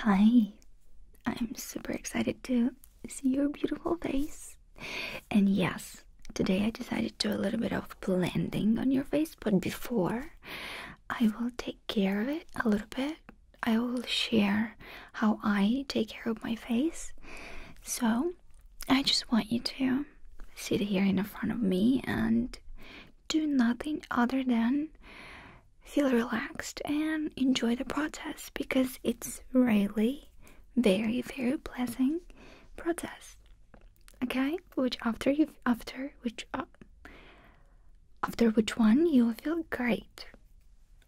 Hi, I'm super excited to see your beautiful face. And yes, today I decided to do a little bit of blending on your face, but before I will take care of it a little bit I will share how I take care of my face. So, I just want you to sit here in front of me and do nothing other than feel relaxed and enjoy the process because it's really very very pleasant process. Okay, which after you after which uh, after which one you will feel great.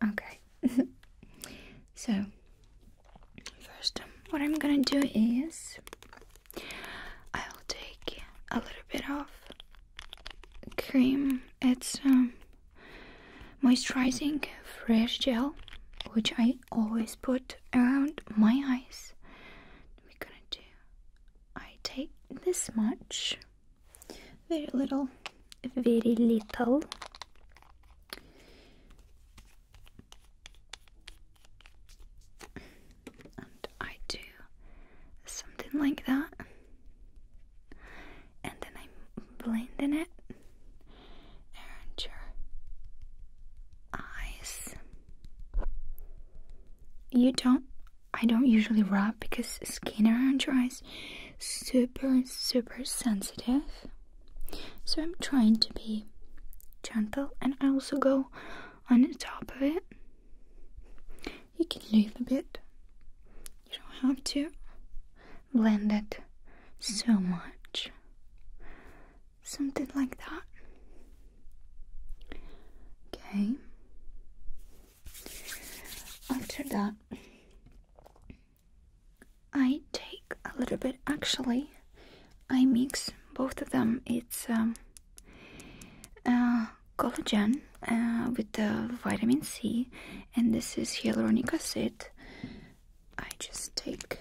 Okay. so, first, um, what I'm gonna do is I'll take a little bit of cream. It's um, moisturizing fresh gel, which I always put around my eyes. We're gonna do. I take this much. Very little. Very little. And I do something like that. And then I'm in it around your eyes. You don't I don't usually rub because skin around your eyes super, super sensitive. So I'm trying to be gentle and I also go on top of it. You can leave a bit. You don't have to blend it so much. Something like that. Okay. After that, I take a little bit actually. I mix both of them. It's um, uh, collagen uh, with the vitamin C, and this is hyaluronic acid. I just take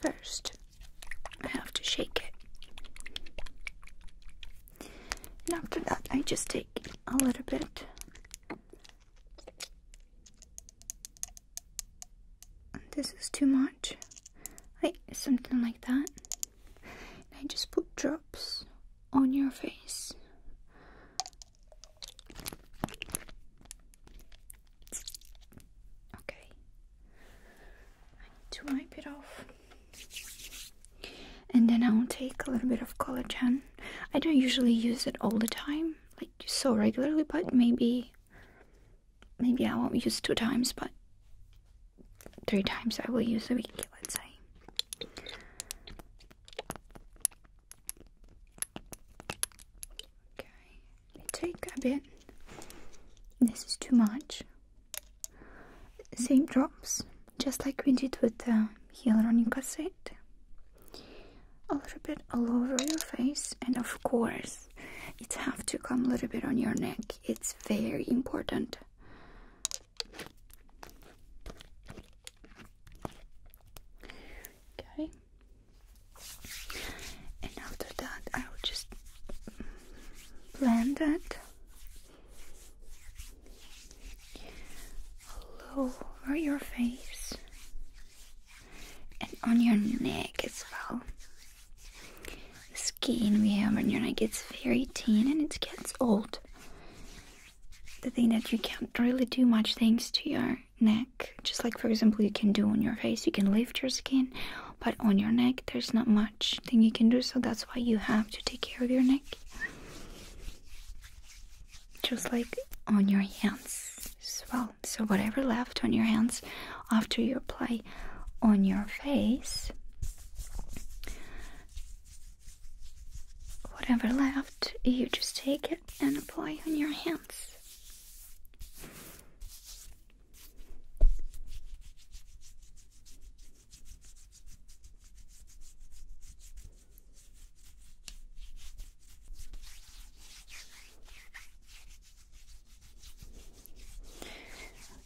first. I have to shake it, and after that, I just take a little bit this is too much. Like something like that. I just put drops on your face. Okay. I need to wipe it off and then I'll take a little bit of collagen. I don't usually use it all the time, like so regularly, but maybe maybe I won't use two times, but three times I will use a week, let's say. Okay, take a bit. This is too much. Same drops just like we did with the hyaluronic acid a little bit all over your face and of course it have to come a little bit on your neck it's very important okay and after that i will just blend it all over your face and on your neck as well. The skin we have on your neck gets very thin and it gets old. The thing that you can't really do much things to your neck, just like for example you can do on your face, you can lift your skin, but on your neck there's not much thing you can do, so that's why you have to take care of your neck just like on your hands as well. So, whatever left on your hands after you apply on your face, whatever left, you just take it and apply on your hands.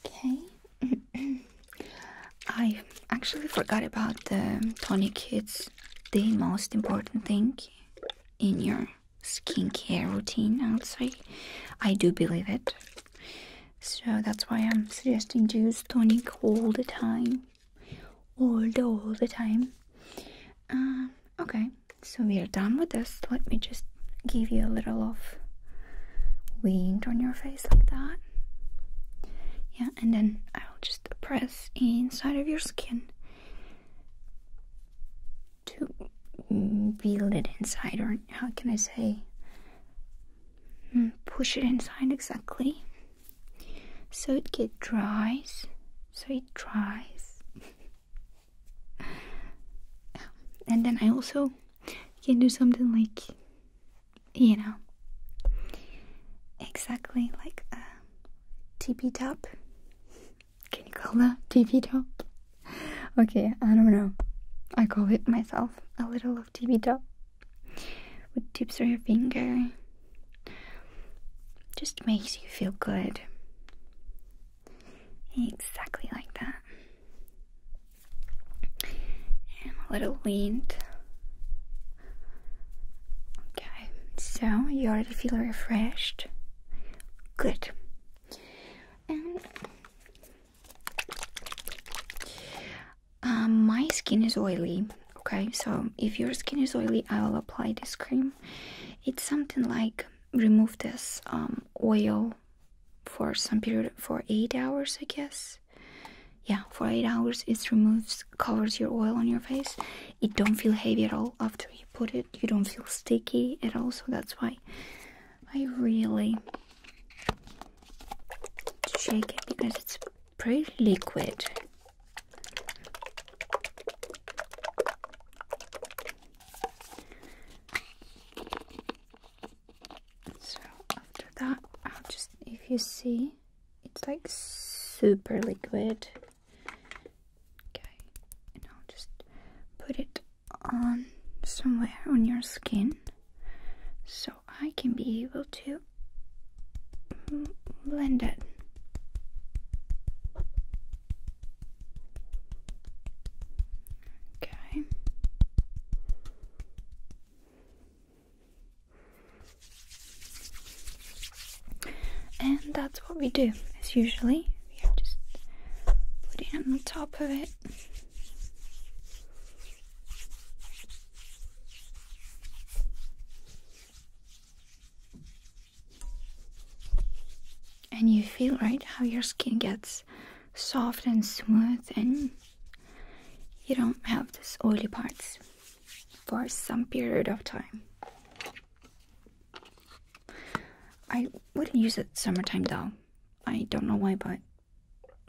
Okay. I actually forgot about the tonic. It's the most important thing in your skincare routine, I would say. I do believe it. So that's why I'm suggesting to use tonic all the time all the time um, okay so we are done with this let me just give you a little of wind on your face like that yeah and then i'll just press inside of your skin to build it inside or how can i say hmm, push it inside exactly so it get dries so it dries and then i also can do something like you know exactly like a tippy top can you call that tippy top okay i don't know i call it myself a little of top with tips on your finger. Just makes you feel good. Exactly like that. And a little wind. Okay, so you already feel refreshed. Good. And um, my skin is oily okay so if your skin is oily i will apply this cream it's something like remove this um, oil for some period for eight hours i guess yeah for eight hours it removes covers your oil on your face it don't feel heavy at all after you put it you don't feel sticky at all so that's why i really to shake it because it's pretty liquid. So after that, I'll just, if you see, it's like super liquid. Okay, and I'll just put it on somewhere on your skin. So I can be able to blend it. Okay. And that's what we do as usually. We just put it on the top of it. And you feel right how your skin gets soft and smooth, and you don't have these oily parts for some period of time. I wouldn't use it summertime though. I don't know why, but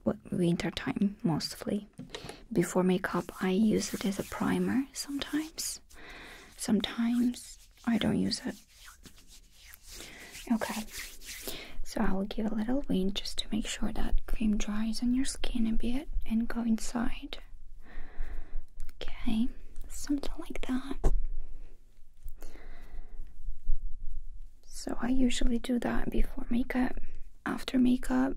what winter time mostly. Before makeup, I use it as a primer sometimes. Sometimes I don't use it. Okay, so I will give a little wind just to make sure that cream dries on your skin a bit and go inside. Okay, something like that. So I usually do that before makeup, after makeup.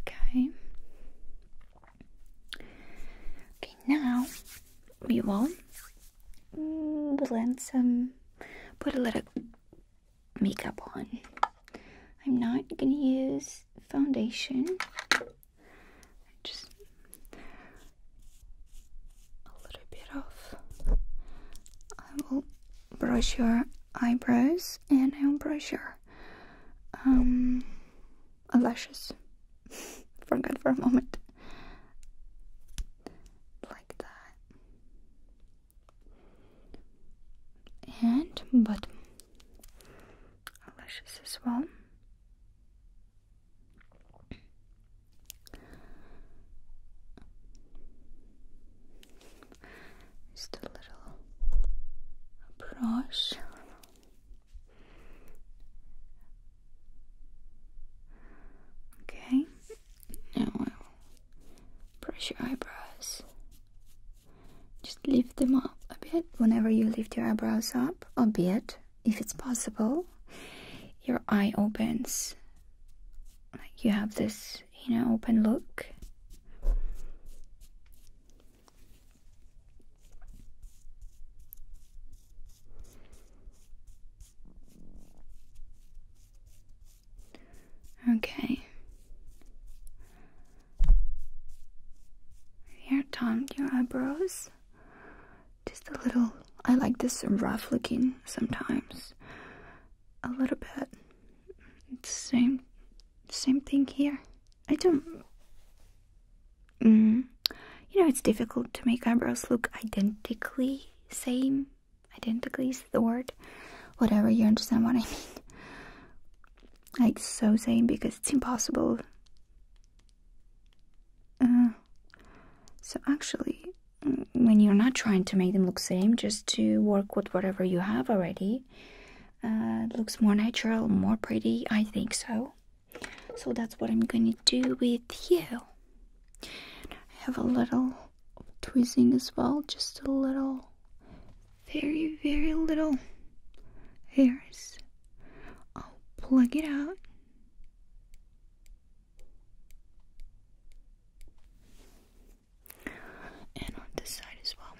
Okay. Okay, now we will blend some, put a little makeup on. I'm not gonna use foundation. Just a little bit of. I will brush your eyebrows and I'll brush your um, lashes. Forgot for a moment. Like that. And but Lashes as well. Just a little brush. Okay, now brush your eyebrows. Just lift them up a bit. Whenever you lift your eyebrows up a bit, if it's possible, your eye opens like you have this, you know, open look. Okay. Here, Tom, your eyebrows. Just a little. I like this rough looking sometimes a little bit. Same, same thing here. I don't. Mm, you know, it's difficult to make eyebrows look identically same. Identically is the word. Whatever, you understand what I mean. Like, so same because it's impossible. Uh, so actually, when you're not trying to make them look same, just to work with whatever you have already, uh, looks more natural, more pretty. I think so. So that's what I'm gonna do with you. I have a little tweezing as well, just a little, very, very little hairs. I'll plug it out and on this side as well.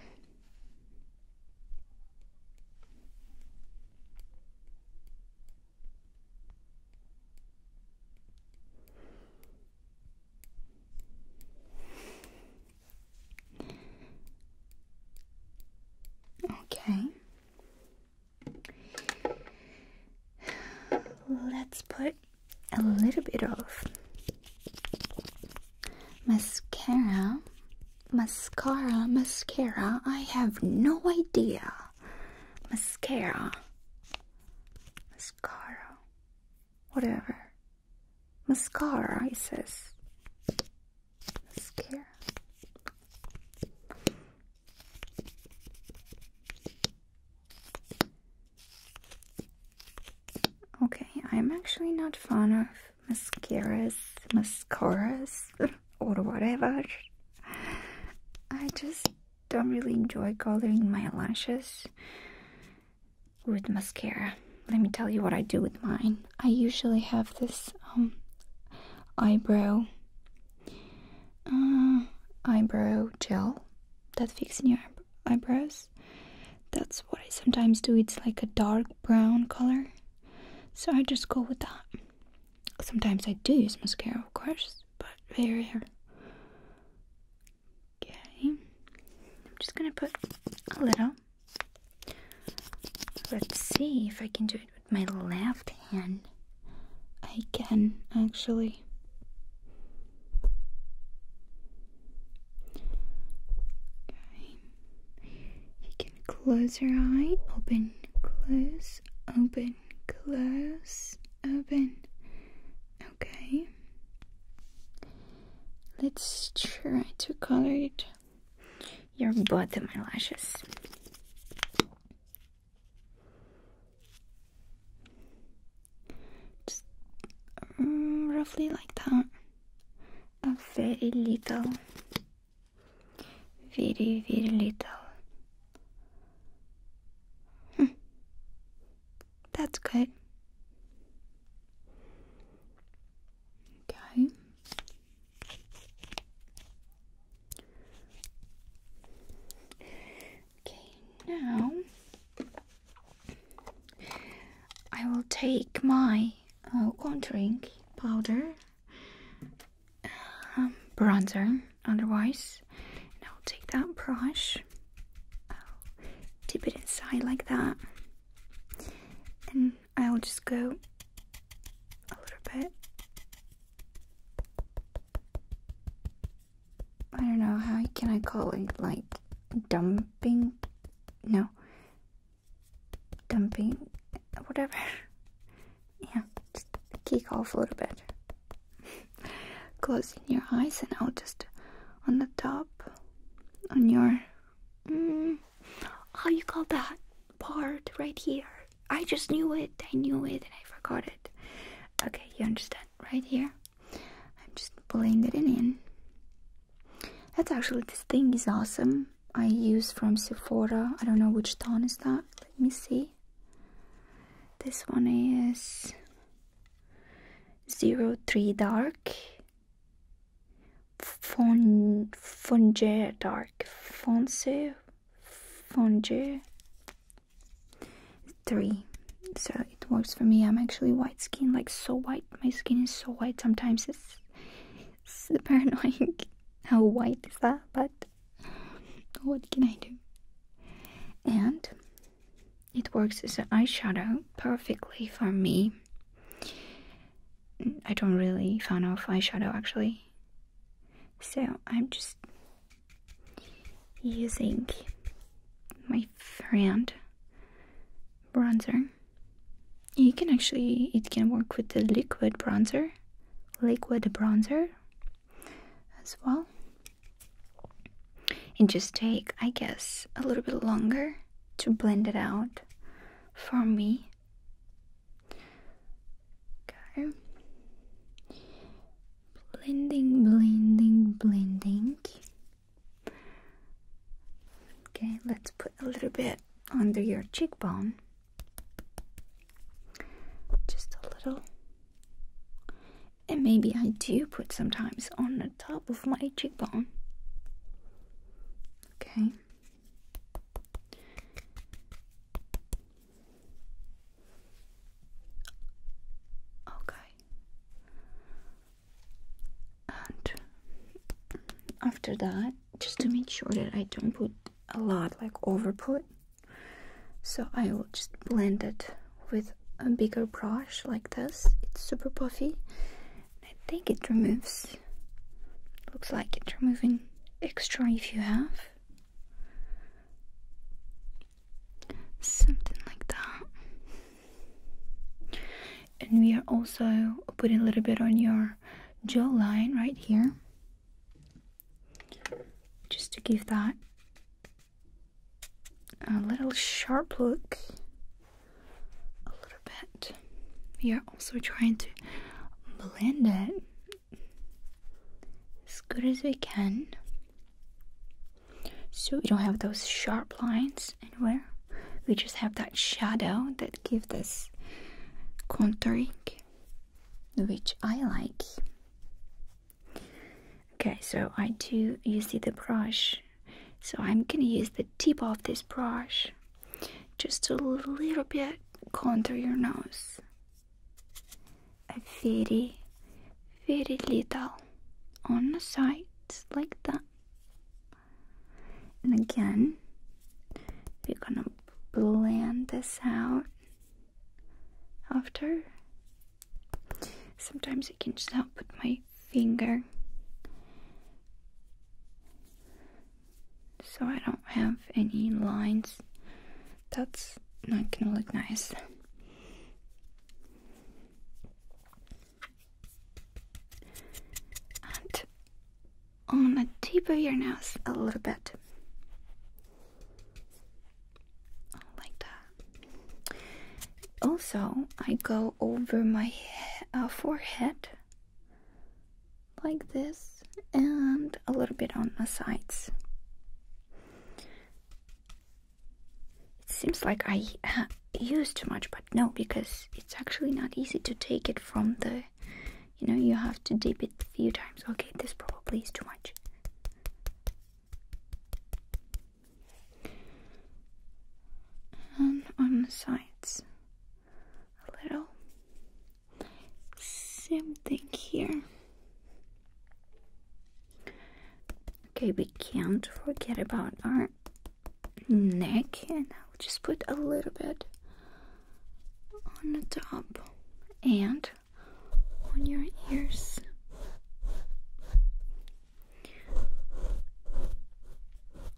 Okay. Let's put a little bit of mascara. Mascara, mascara. I have no idea. Mascara. Mascara. Whatever. Mascara, it says. Mascara. Okay, I'm actually not fond of mascaras, mascaras, or whatever. I just don't really enjoy coloring my lashes with mascara. Let me tell you what I do with mine. I usually have this um, eyebrow uh, eyebrow gel that fixes your eyebrows. That's what I sometimes do. It's like a dark brown color. So I just go with that. Sometimes I do use mascara, of course, but very rare. Okay. I'm just gonna put a little. Let's see if I can do it with my left can. I can, actually. Okay. You can close your eye, open, close, open, close, open. Okay. Let's try to color it your bottom eyelashes. Mm, roughly like that. A very little, very, very little. Hmm. That's good. Okay. Okay, now I will take my uh, contouring powder, um, bronzer, otherwise, and I'll take that brush, i dip it inside like that, and I'll just go a little bit I don't know, how can I call it? Like dumping? No. Dumping? Whatever. Yeah, just kick off a little bit. Closing your eyes, and I'll just on the top, on your. Mm, how you call that part right here? I just knew it. I knew it and I forgot it. Okay, you understand right here. I'm just blending it in. That's actually this thing is awesome. I use from Sephora. I don't know which tone is that. Let me see. This one is zero three dark. Fon Fonge dark. Fonse Fonge three. So it works for me. I'm actually white skin, like so white. My skin is so white. Sometimes it's super annoying. How white is that? But what can I do? And it works as an eyeshadow perfectly for me. Mm, I don't really fan off eyeshadow actually. So I'm just using my friend bronzer. You can actually, it can work with the liquid bronzer, liquid bronzer as well. And just take, I guess, a little bit longer to blend it out for me. Okay. Blending, blending, blending. Okay, let's put a little bit under your cheekbone. Just a little. And maybe I do put sometimes on the top of my cheekbone. Okay. Okay. And after that, just to make sure that I don't put a lot, like over put, so I will just blend it with a bigger brush like this. It's super puffy. I think it removes, looks like it's removing extra if you have. Something like that. And we are also putting a little bit on your jawline right here. Just to give that a little sharp look. A little bit. We are also trying to blend it as good as we can so we don't have those sharp lines anywhere we just have that shadow that gives this contouring which I like okay so I do you see the brush so I'm gonna use the tip of this brush just a little bit contour your nose a very, very little on the sides like that. And again, we're gonna blend this out after. Sometimes I can just help with my finger so I don't have any lines that's not gonna look nice. And on the tip of your nose a little bit. Like that. Also, I go over my uh, forehead like this and a little bit on the sides. It seems like I uh, use too much, but no, because it's actually not easy to take it from the, you know, you have to dip it a few times. Okay, this probably is too much. And um, on the sides, a little. Same thing here. Okay, we can't forget about our neck, and I'll just put a little bit on the top and on your ears.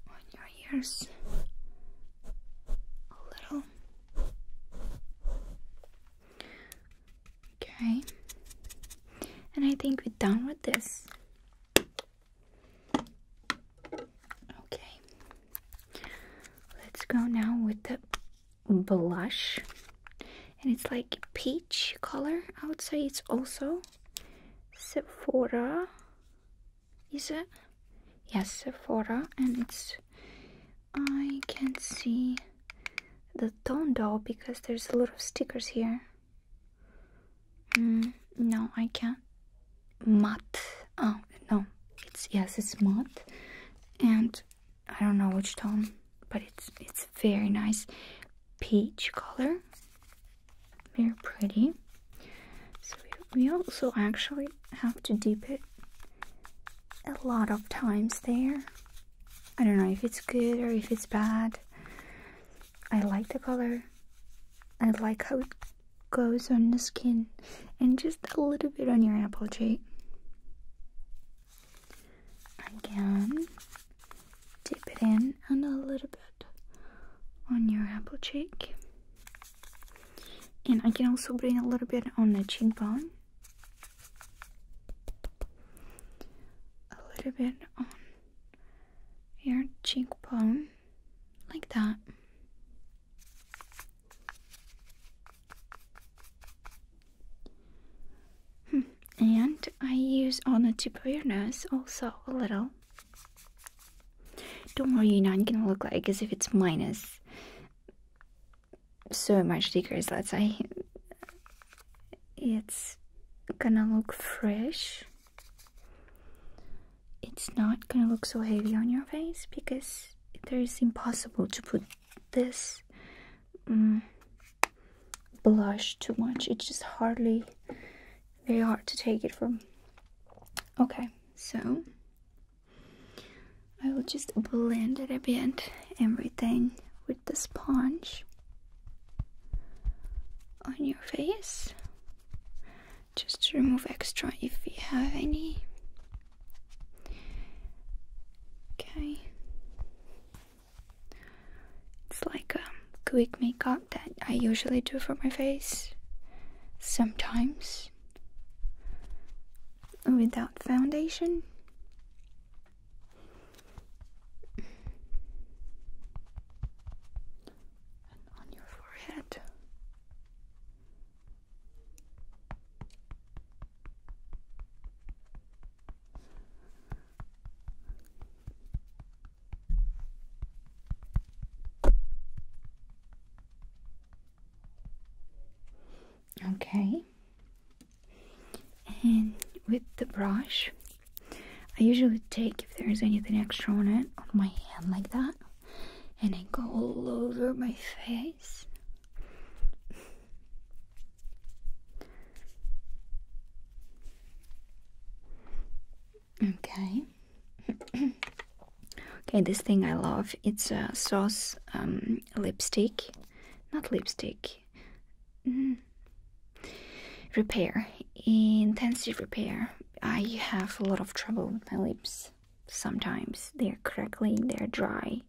On your ears. A little. Okay. And I think we're done with this. Okay. Let's go now with the blush. And it's like peach color. I would say it's also Sephora. Is it? Yes, Sephora. And it's I can't see the tone doll because there's a lot of stickers here. Mm, no, I can't. Matte. Oh, no. It's yes, it's matte. And I don't know which tone, but it's it's very nice peach color. Very pretty. So we, we also actually have to dip it a lot of times there. I don't know if it's good or if it's bad. I like the color. I like how it goes on the skin and just a little bit on your apple cheek. Again, dip it in and a little bit on your apple cheek. And I can also bring a little bit on the chin bone a little bit on your cheekbone, like that. Hmm, and I use on the tip of your nose also a little. Don't worry, you're not gonna look like as if it's minus so much stickers, let's say. It's gonna look fresh. It's not gonna look so heavy on your face because it is impossible to put this mm, blush too much. It's just hardly very hard to take it from. Okay, so I will just blend it a bit, everything with the sponge on your face. Just to remove extra if you have any. Okay. It's like a quick makeup that I usually do for my face sometimes without foundation. And on your forehead. Okay and with the brush I usually take if there's anything extra on it on my hand like that and I go all over my face okay okay this thing I love it's a sauce um, lipstick, not lipstick, mm. repair, intensive repair. I have a lot of trouble with my lips. Sometimes they're crackling, they're dry.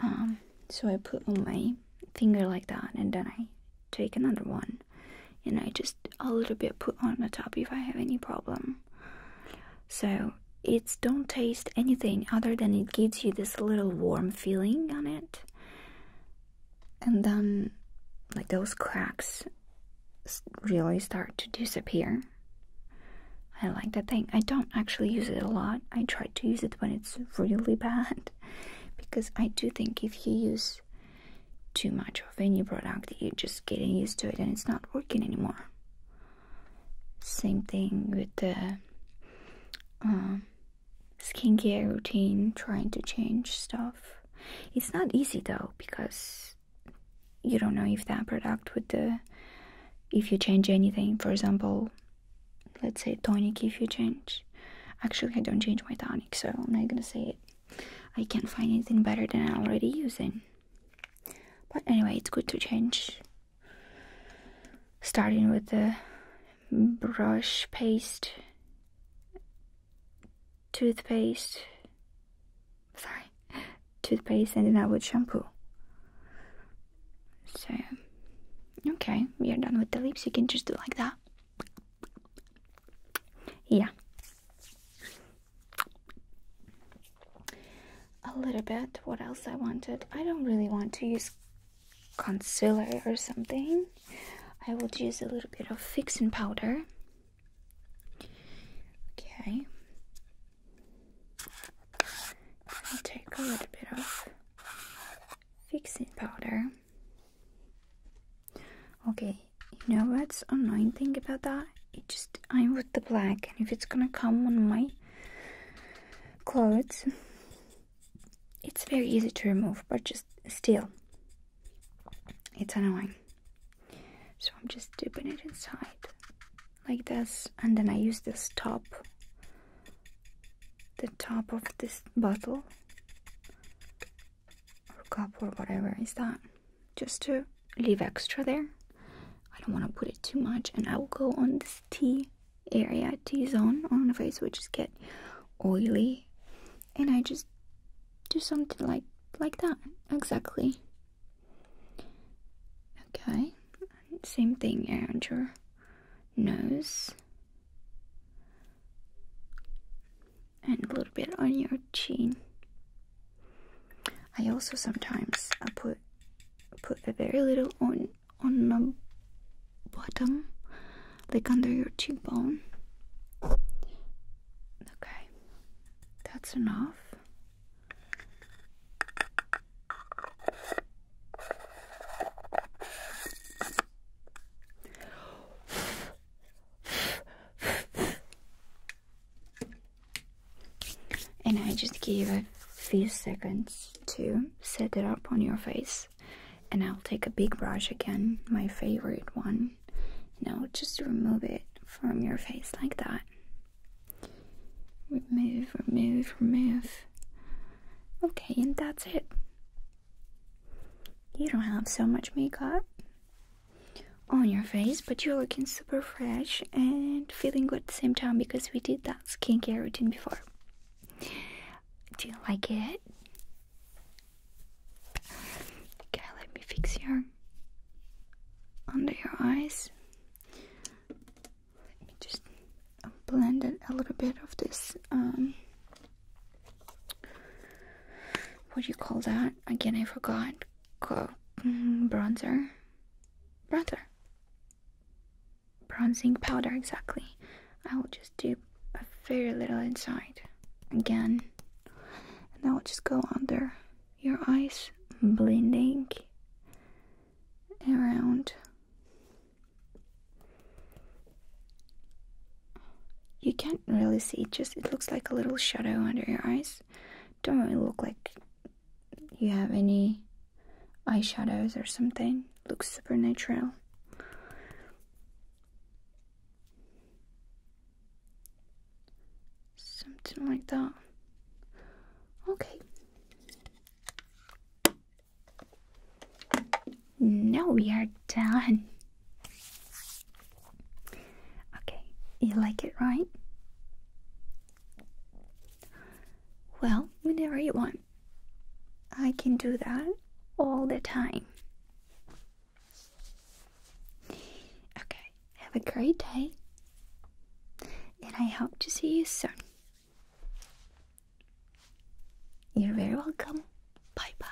Um, so I put on my finger like that, and then I take another one, and I just a little bit put on the top if I have any problem. So it don't taste anything other than it gives you this little warm feeling on it. And then like those cracks really start to disappear. I like that thing. I don't actually use it a lot. I try to use it when it's really bad because I do think if you use too much of any product, you're just getting used to it and it's not working anymore. Same thing with the um, skincare routine, trying to change stuff. It's not easy though because you don't know if that product would the uh, if you change anything. For example, let's say tonic. If you change, actually I don't change my tonic, so I'm not gonna say it. I can't find anything better than I'm already using. But anyway, it's good to change. Starting with the brush, paste, toothpaste, sorry, toothpaste, and then I would shampoo. So, okay, we are done with the lips. You can just do like that. Yeah a little bit what else I wanted. I don't really want to use concealer or something. I will use a little bit of fixing powder. Okay. I'll take a little bit of fixing powder. Okay, you know what's annoying thing about that? it just I'm with the black and if it's gonna come on my clothes it's very easy to remove but just still it's annoying so I'm just dipping it inside like this and then I use this top the top of this bottle or cup or whatever is that just to leave extra there. I don't want to put it too much, and I will go on this T area, T zone on the face, which is get oily, and I just do something like like that exactly. Okay, same thing around your nose. And a little bit on your chin. I also sometimes I put put a very little on on the bottom, like under your cheekbone. Okay, that's enough and I just give a few seconds to set it up on your face and I'll take a big brush again my favorite one Now just remove it from your face like that remove remove remove okay and that's it you don't have so much makeup on your face, but you're looking super fresh and feeling good at the same time because we did that skincare routine before. Do you like it? Okay, let me fix your under your eyes. Let me just blend in a little bit of this. Um, what do you call that? Again, I forgot. Mm, bronzer. Bronzer. Bronzing powder, exactly. I will just do a very little inside again. And I will just go under your eyes, blending around. You can't really see, just it looks like a little shadow under your eyes. Don't really look like you have any eyeshadows or something. Looks super natural. Something like that. Okay. Now we are done. Okay, you like it, right? Well, whenever you want. I can do that all the time. Okay, have a great day. And I hope to see you soon. You're very welcome. Bye bye.